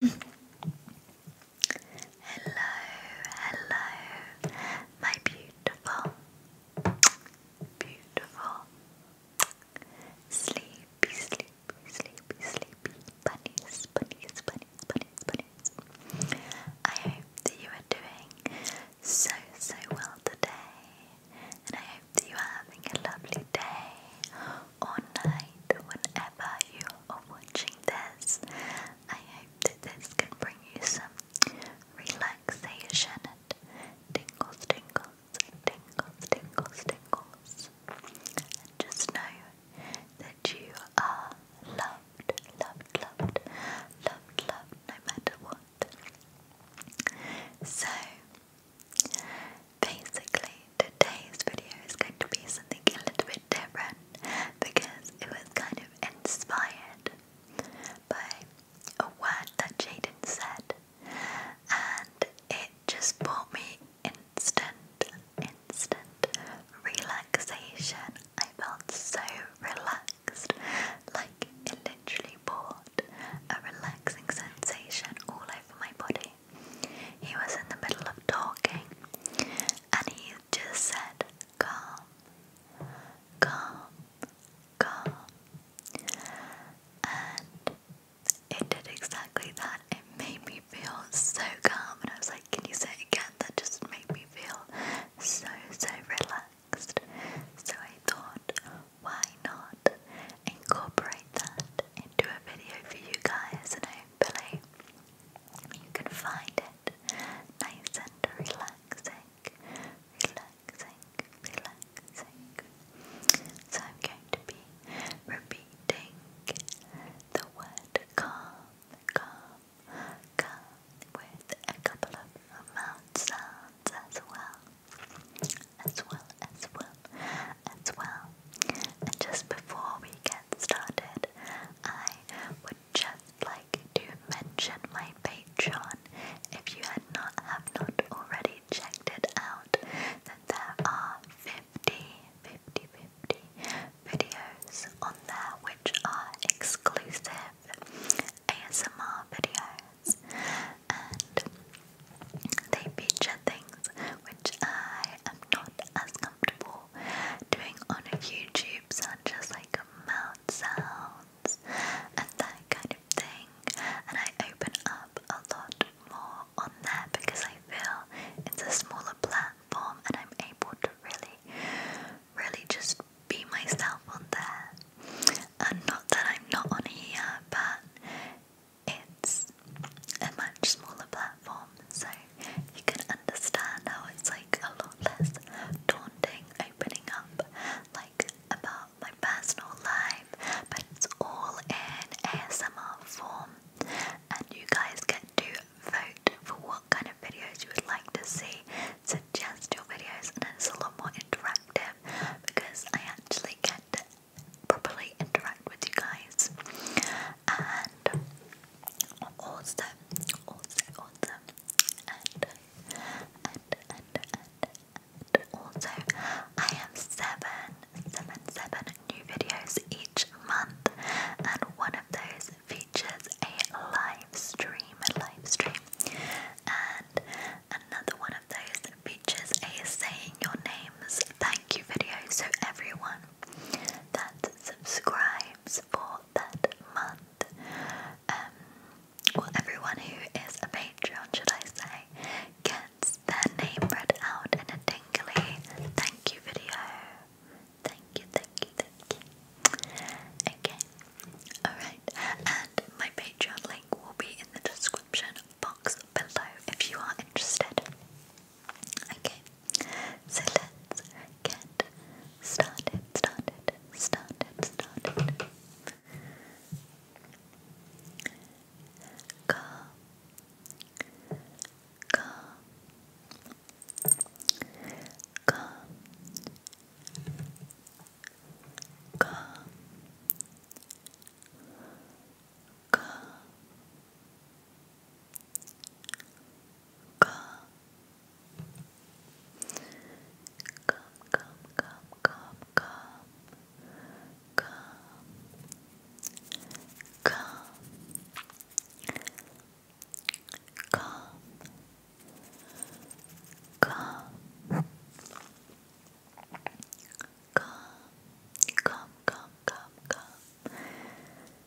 hello, hello, my beautiful, beautiful, sleepy, sleepy, sleepy, sleepy bunnies, bunnies, bunnies, bunnies, bunnies. I hope that you are doing so, so well today, and I hope that you are having a lovely day or night whenever you are watching this. I hope that this can bring you some relaxation and tingles, tingles, tingles, tingles, tingles. And just know that you are loved, loved, loved, loved, loved no matter what. So, basically today's video is going to be something a little bit different because it was kind of inspired by a word that Jaden said and it just brought me instant, instant relaxation. I felt so relaxed, like it literally brought a relaxing sensation all over my body. He was in the middle of talking and he just said, Calm, calm, calm. And it did exactly that. It made me feel so calm. And I was like, Can you say again? That just made me feel so, so relaxed. So I thought, why not incorporate that into a video for you guys? And hopefully, you can find it nice and relaxing, relaxing, relaxing. So I'm going to be repeating the word calm, calm, calm with a couple of mouth sounds as well. As well, as well, as well. And just before we get started, I would just like to mention my Patreon. If you had not have not already checked it out, then there are 50, 50, 50 videos on there which are exclusive ASMR videos and they feature things which I am not as doing on YouTube, such as like mouth sounds and that kind of thing. And I open up a lot more on there because I feel it's a smaller platform and I'm able to really, really just be myself on there. And not that I'm not on here, but it's is a much smaller platform, so you can understand how it's like a lot less daunting opening up like about my personal life, but it's all in ASMR form, and you guys get to vote for what kind of videos you would like to see. Suggest your videos, and it's a lot more interactive because I actually get properly interact with you guys. And awesome, awesome, awesome, and and and and also I have seven, seven, seven new videos each month, and one of those features a live stream, a live stream, and another one of those features a saying your names thank you video. So everyone that subscribes for that month. Um, well, everyone who is a Patreon, should I say, gets their name read out in a tingly thank you video. Thank you, thank you, thank you. Okay, alright, and my Patreon link will be in the description box below if you are interested. Okay, so let's get started, started, started, started. Calm, calm, calm, calm. Calm, Come. Come, come, come, come, come. Come. Come. Come. Come. Come, come, come, come, come,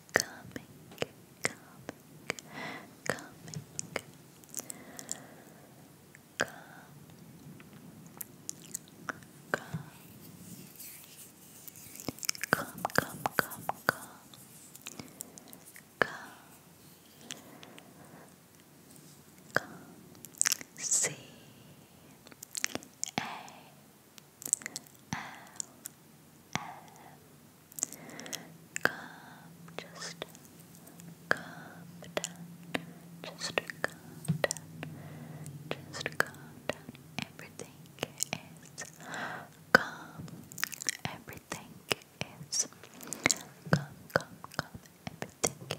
coming, coming, coming, come, come, come, come, come, come, come, come, C A L M Calm, just calm Just calm Just calm Everything is calm. Everything is calm, calm, calm.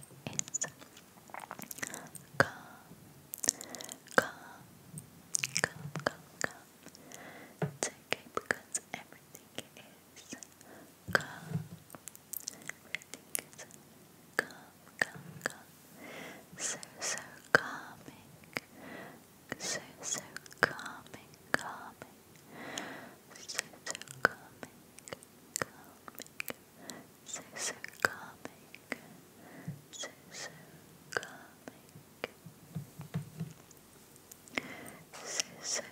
Everything is calm. Calm, calm, calm, calm. It's okay because Everything is calm. Everything is calm, So, so calming. So, so calming, calming. So, so calming, calming. So, so calming. So, so calming. Scissor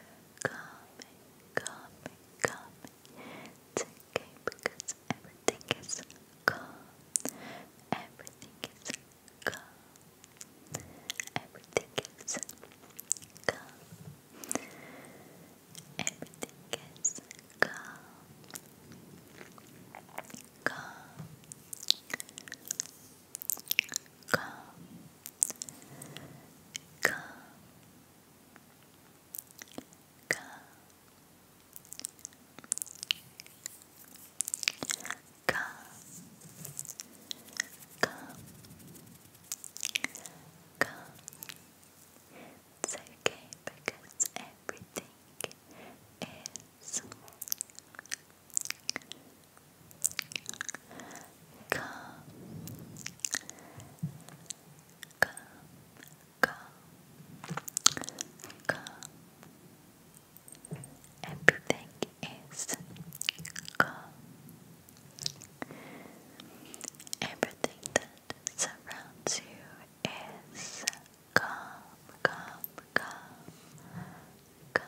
coming, coming, coming. It's okay because everything is calm. Everything is calm. Everything is calm. Everything is calm. Calm. Come, come, come, come, come, come. It's okay because everything is Come, come, come, come. Everything is calm. Everything that surrounds you is calm, calm, calm, calm,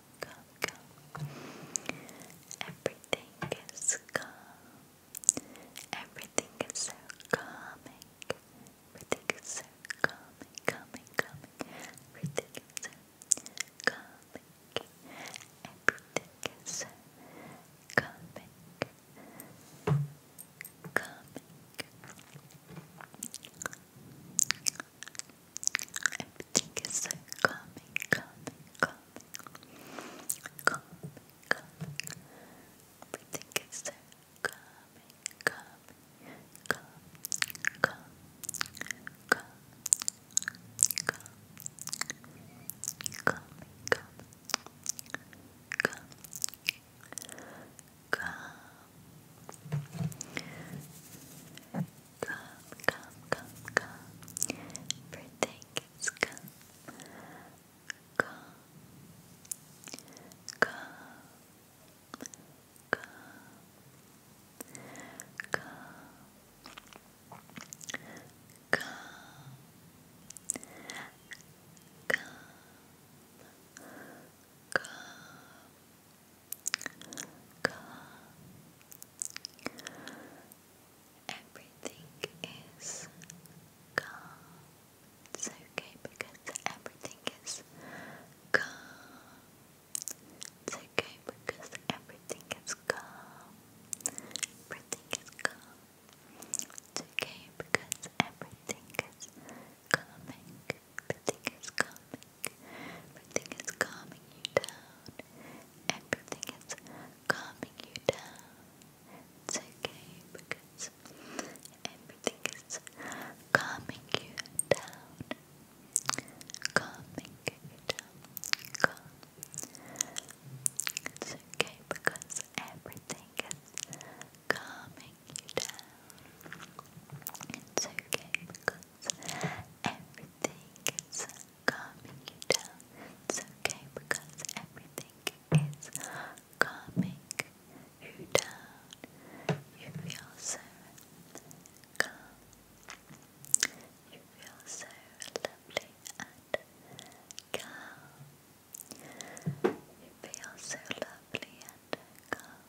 calm, calm. Everything is calm. Everything is so calming. Everything is so calming, calming, calming. Everything is so calming. Everything is so calming. Everything is so calming, coming, calming, calming, Everything is so calming, calming, calming, calming, calming, calming, calming, calming. Calm. Come, come, come, come. Everything is come. Come. Come. Come. Come. Come. Come calm. Everything is calm. It's okay because everything is calm. It's okay because everything is calm. Everything is calm. It's okay because everything is calming. Everything is calming. Everything is calming you down. Everything is calming you down. It's okay because everything is calming you down. Calming you down. It's okay because everything is calming you down. It's okay because everything is calming you down. It's okay because everything is calming you down. You feel so calm. You feel so lovely and calm. You feel so lovely and calm.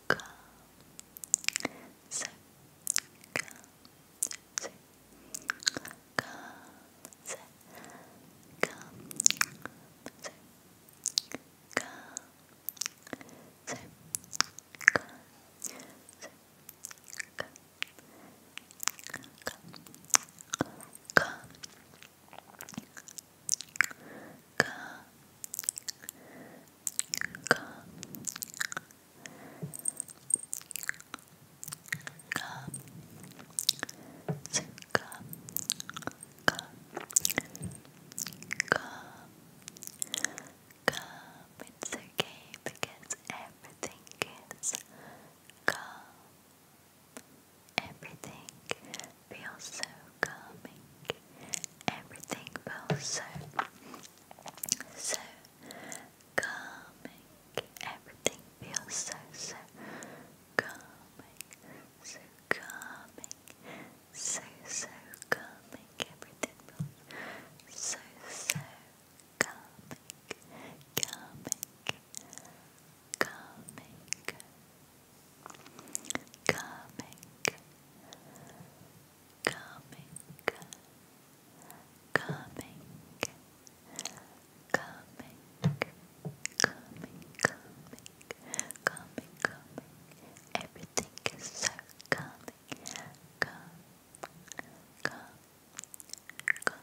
circle, circle, circle, circle, circle, circle, Come, it's okay because everything is calm. Everything feels so calming everything feels so, so calming. Everything feels so, so calming, so calming, so, so calming. Everything feels so, so calming, calming, calming. Calming, coming, coming, coming, coming, coming, coming, coming. Everything is so coming, come, come, come, come, come.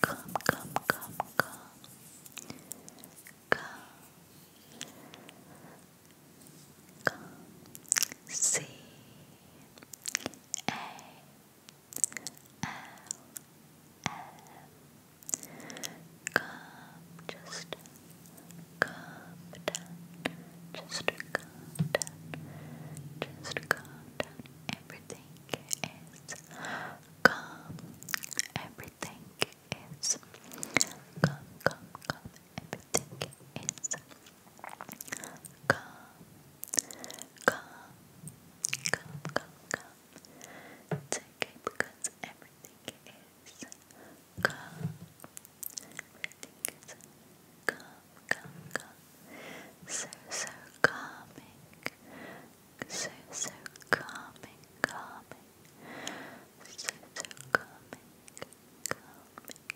Come, come, come, come. Come. Come. C. A. L. M. Come. Just come down. Just come down. Just come down. Everything is calm. Everything is calm, calm, calm. Everything is calm, calm, calm, calm, calm. It's okay because everything is calm. Everything is calm, calm, calm. So, so calming so, so calming, calming, so, so calming, calming,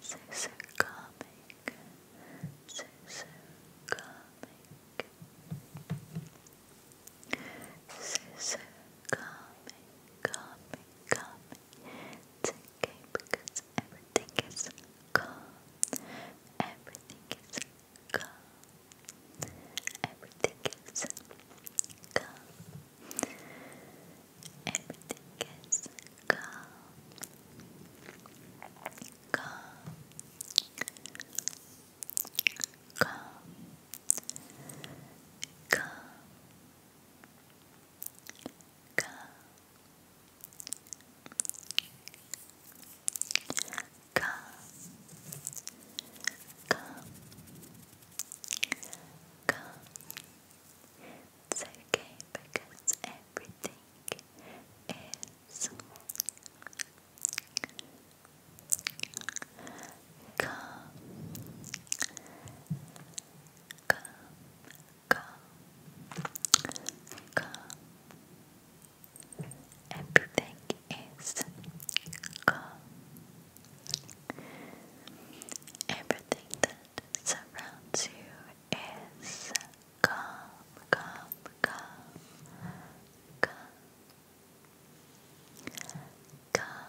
so, so calming, so, so calming, so, so calming, calming, calming. It's okay because everything is calm. Everything is calm. Everything is calm. Calm. Calm. Calm. Calm. Come, come, come. It's okay because everything is calm, calm, calm, calm. Come, Everything is calm. Everything that surrounds you is calm, calm, calm, calm, calm. Calm.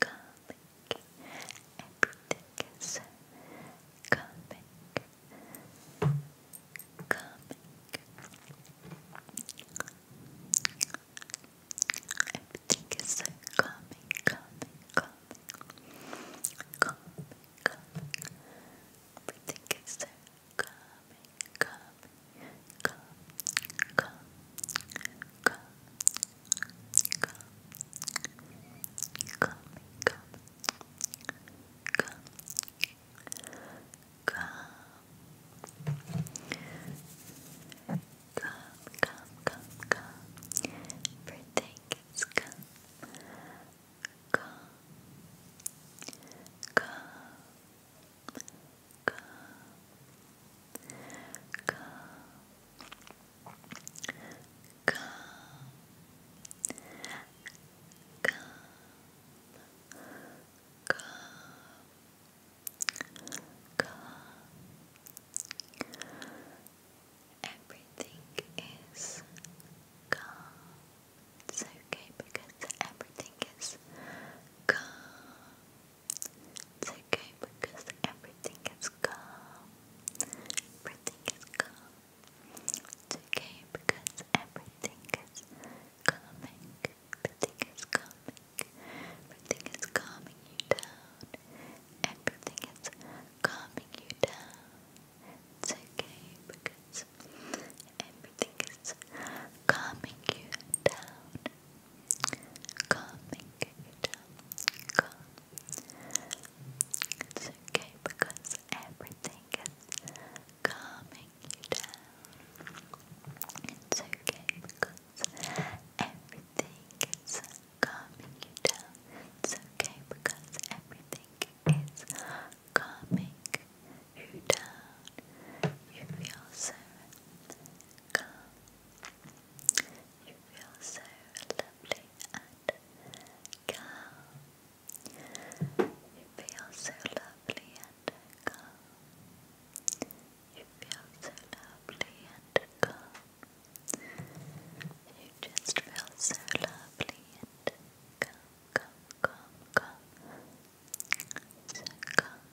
comic, everything is comic, comic, everything is comic, comic, comic, comic, everything is comic, comic come, come, come, come, come, come, come, come. Come, come, come, come. Everything is come. Come. Come. Come, come, Everything is calm. It's okay because everything is calm. It's okay because everything is calm. Everything is calm. It's okay because everything is calming. Everything is calming. Everything is calming you down. Everything is calming you down. It's okay because everything is calming you down calming it down, It's okay because everything is coming you down. It's okay because everything is calming you down. It's okay because everything is calming you down. You feel so calm you feel so lovely and calm. You feel so lovely and calm. You feel so lovely and calm. You just feel so lovely and calm, calm, calm, calm. So calm,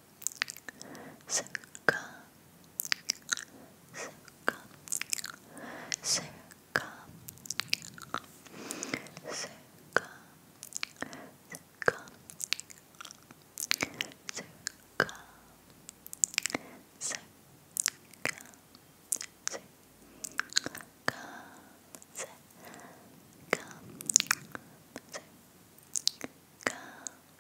circle, circle, circle, circle, circle, circle, Circle,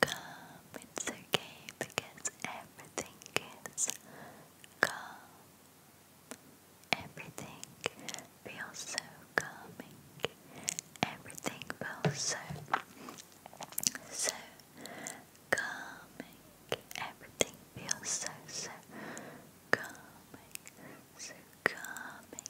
Come, it's okay because everything is calm. Everything feels so calming. Everything feels so, so calming. Everything feels so, so calming. So calming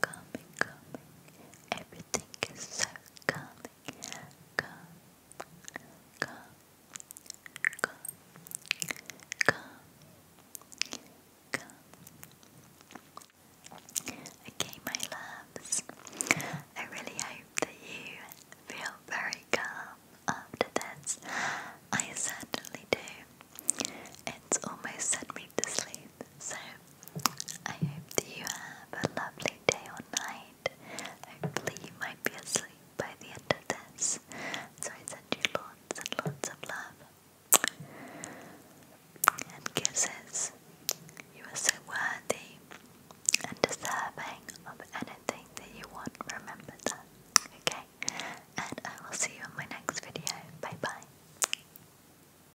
coming, coming. Everything is so coming. Come, come, come, come, Okay, my loves. I really hope that you feel very calm after this. I certainly do. It's almost set me to sleep. So I hope that you have a lovely day or night. Hopefully you might be asleep by the end of this. So I send you lots and lots of love. And kisses. You are so worthy and deserving of anything that you want. Remember that. Okay? And I will see you in my next video. Bye bye.